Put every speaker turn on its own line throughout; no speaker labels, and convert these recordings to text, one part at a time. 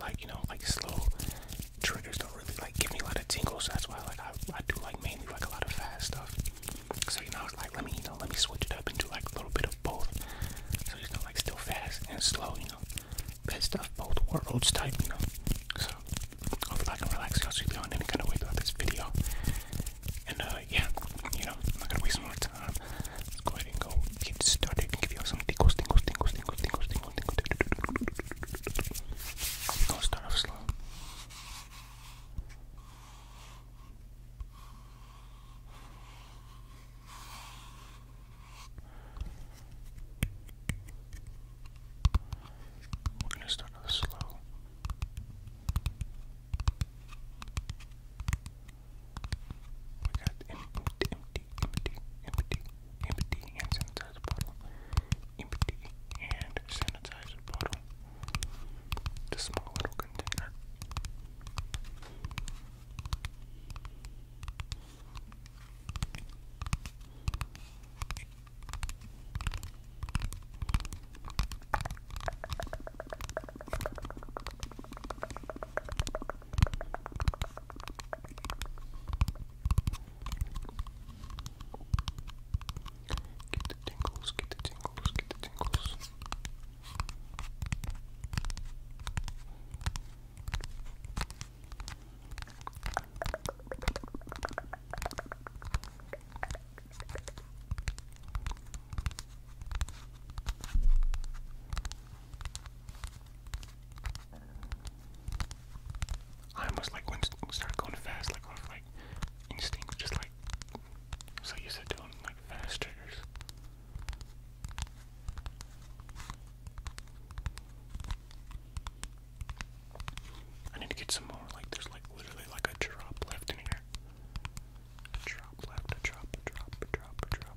like you know like slow triggers don't really like give me a lot of tingles that's why like I, I do like mainly like a lot of fast stuff so you know I like let me you know let me switch it up and do like a little bit of both so you know like still fast and slow you know best of both worlds type you know so I'll hopefully I can relax y'all sleep on any kind of way throughout this video and uh yeah you know I'm not gonna waste more time Let's go ahead and go get started and give you all some tingles, tingles, tingles, tingles, tingles, tingles, tingles, tingles. We're gonna start off slow. We're gonna start off slow. We got empty, empty, empty, empty, empty hand sanitizer bottle. Empty hand sanitizer bottle. The small little container. Get the tingles, get the tingles, get the tingles. Get I almost like when it started going fast, like like instinct, just like so you to doing like fast I need to get some more. Like there's like literally like a drop left in here. A drop left, a drop, a drop, a drop, a drop.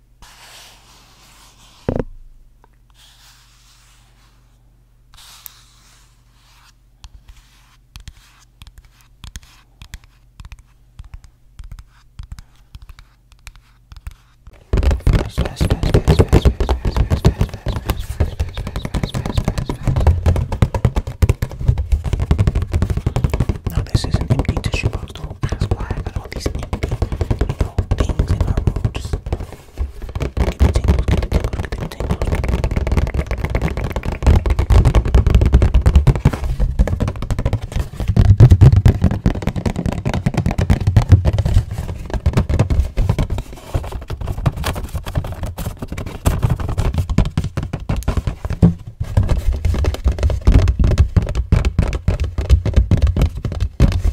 Fast, fast, fast, fast, fast, fast, fast, fast, fast, fast, fast, now this is an empty tissue box. do know, that's why I got all these empty, you know, things in my room. Just get the tingles, get the tingles, get the tingles.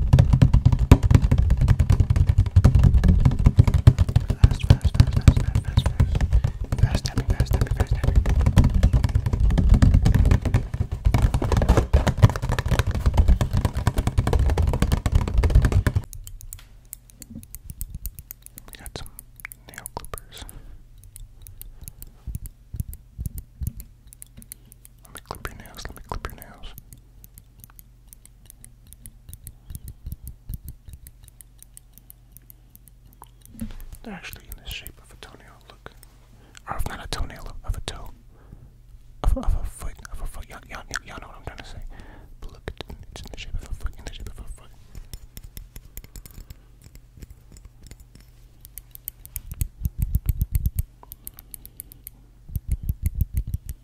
We got some nail clippers. Let me clip your nails, let me clip your nails. They're actually in the shape of a toenail, look. Or if not a toenail, of a toe. Of, a foot, of a foot. Y'all know what I'm trying to say. But look, it's in the shape of a foot, in the shape of a foot.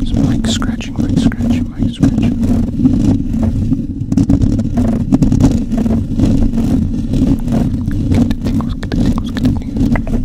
It's mic scratching, mic scratching, mic scratching. Get the tingles, get the tingles, get the tingles.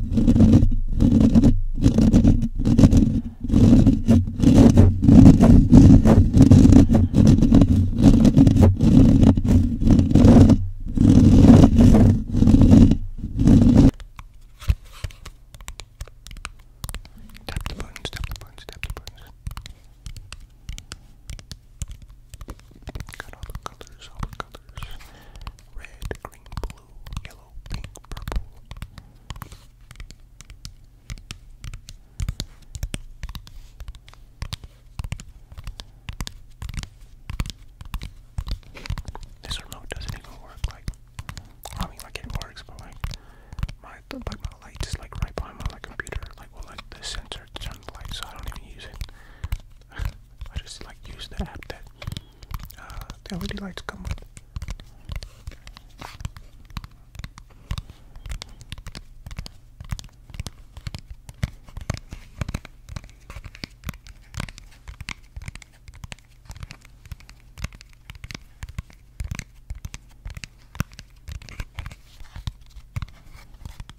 Tap the buttons, tap the buttons, tap the buttons. Got all the colors, all the colors. Red, green, blue, yellow, pink, purple. This remote doesn't even work like I mean like it works but like my like my light like right behind my computer like well like the sensor turns the light so I don't even use it. I just like use the app that the LED lights come with.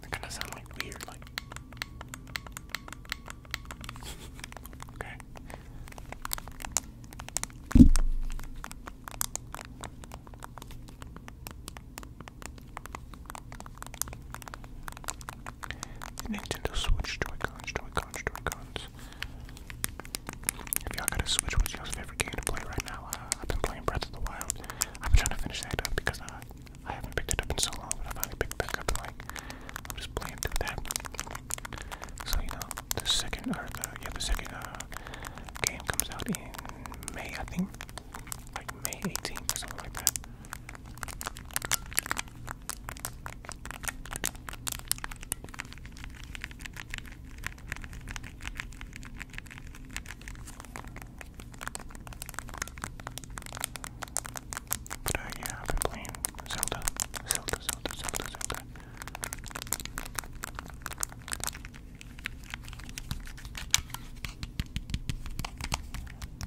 That kind of sound like weird, like. okay. Nintendo Switch Joy-Cons, Joy-Cons, Joy-Cons. If y'all got a Switch, what's y'all's favorite game to play right now? Uh, I've been playing Breath of the Wild. I've been trying to finish that up because uh, I haven't picked it up in so long, but I finally picked it back up and like, I'm just playing through that. So, you know, the second, or the, yeah, the second uh, game comes out in May, I think. Like May 18th or something like that. But uh, yeah, I've been playing Zelda, Zelda, Zelda, Zelda, Zelda.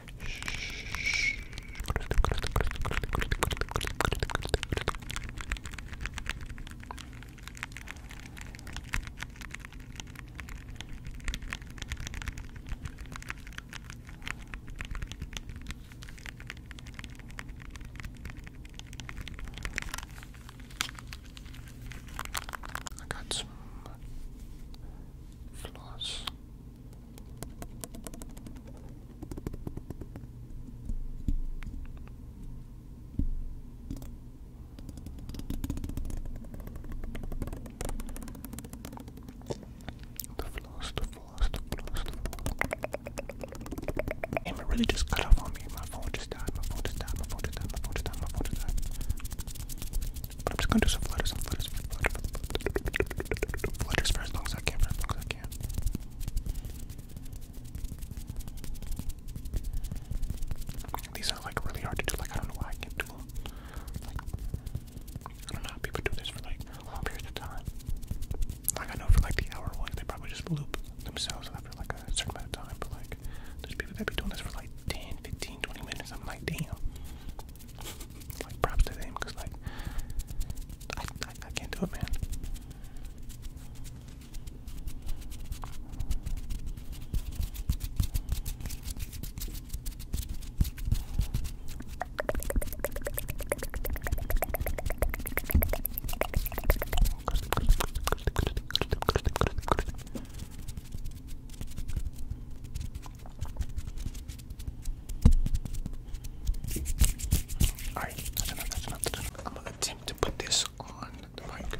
I got some floss the floss, the floss, the floss, the floss. it really just cut off on me. My phone just died, my phone just died, my phone just died, my phone just died, my phone just died. But I'm just gonna do some flutters, some flutters, some flutters. Letters for as long as I can, for as long as I can. These are like really hard to do, like I don't know why I can't do them. I don't know people do this for like long periods of time. Like I know for like the hour ones, they probably just loop themselves after like a certain amount of time, but like there's people that be doing this for like 10, minutes. I'm like, damn like props to them because like I, I can't do it, man. Alright, that's enough, that's enough, that's enough. I'm gonna attempt to put this on the mic.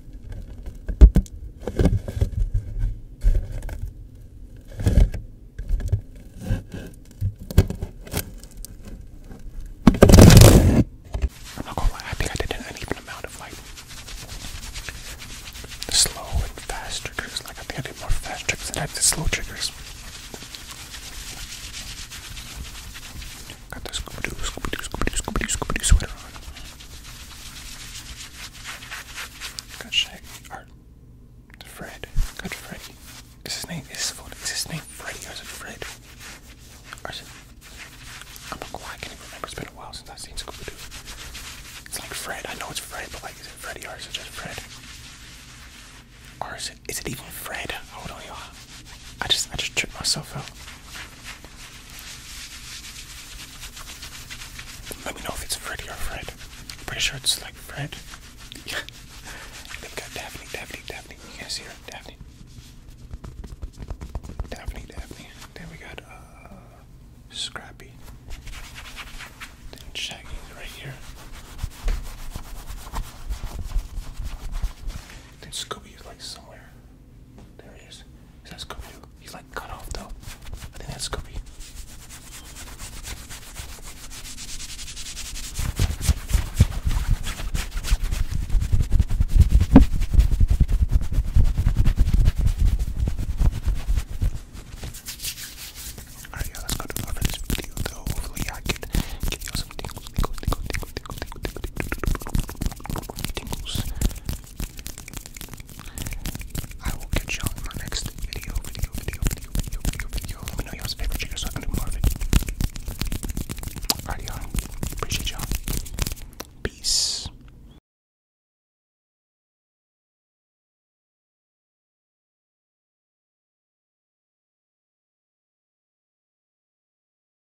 I'm not gonna lie, I think I did an uneven amount of like slow and fast triggers. Like I think I did more fast triggers than I did slow triggers. Got the Scooby Doo, Scooby Doo, Scooby Doo, Scooby Doo, Scooby Doo sweater on. Got Shaggy, or Fred. Got Freddy. Is his name? Is his name Freddy or is it Fred? Or is it? I'm not quite. I can't even remember. It's been a while since I've seen Scooby Doo. It's like Fred. I know it's Fred, but like, is it Freddy or is it just Fred? Or is it? Is it even Fred? Hold on, y'all. I just, I just tripped myself out. Let me know if it's Freddy or Fred. pretty sure it's like Fred. Yeah. they got Daphne, Daphne, Daphne. You guys hear it? Daphne. Daphne, Daphne. Then we got uh, Scrappy. Then Shaggy right here. Then Scooby is like somewhere. There he is. Is that Scooby Doo? He's like cut off though. I think that's Scooby. Alright, yeah, that's good for this video though. Hopefully I can give you some tingles, tingles, tingles, tingles, I will catch y'all in my next video, video, video, video, video, video, Let me know y'all's favorite trigger so I can do more of it. Alright y'all. Appreciate y'all. Peace.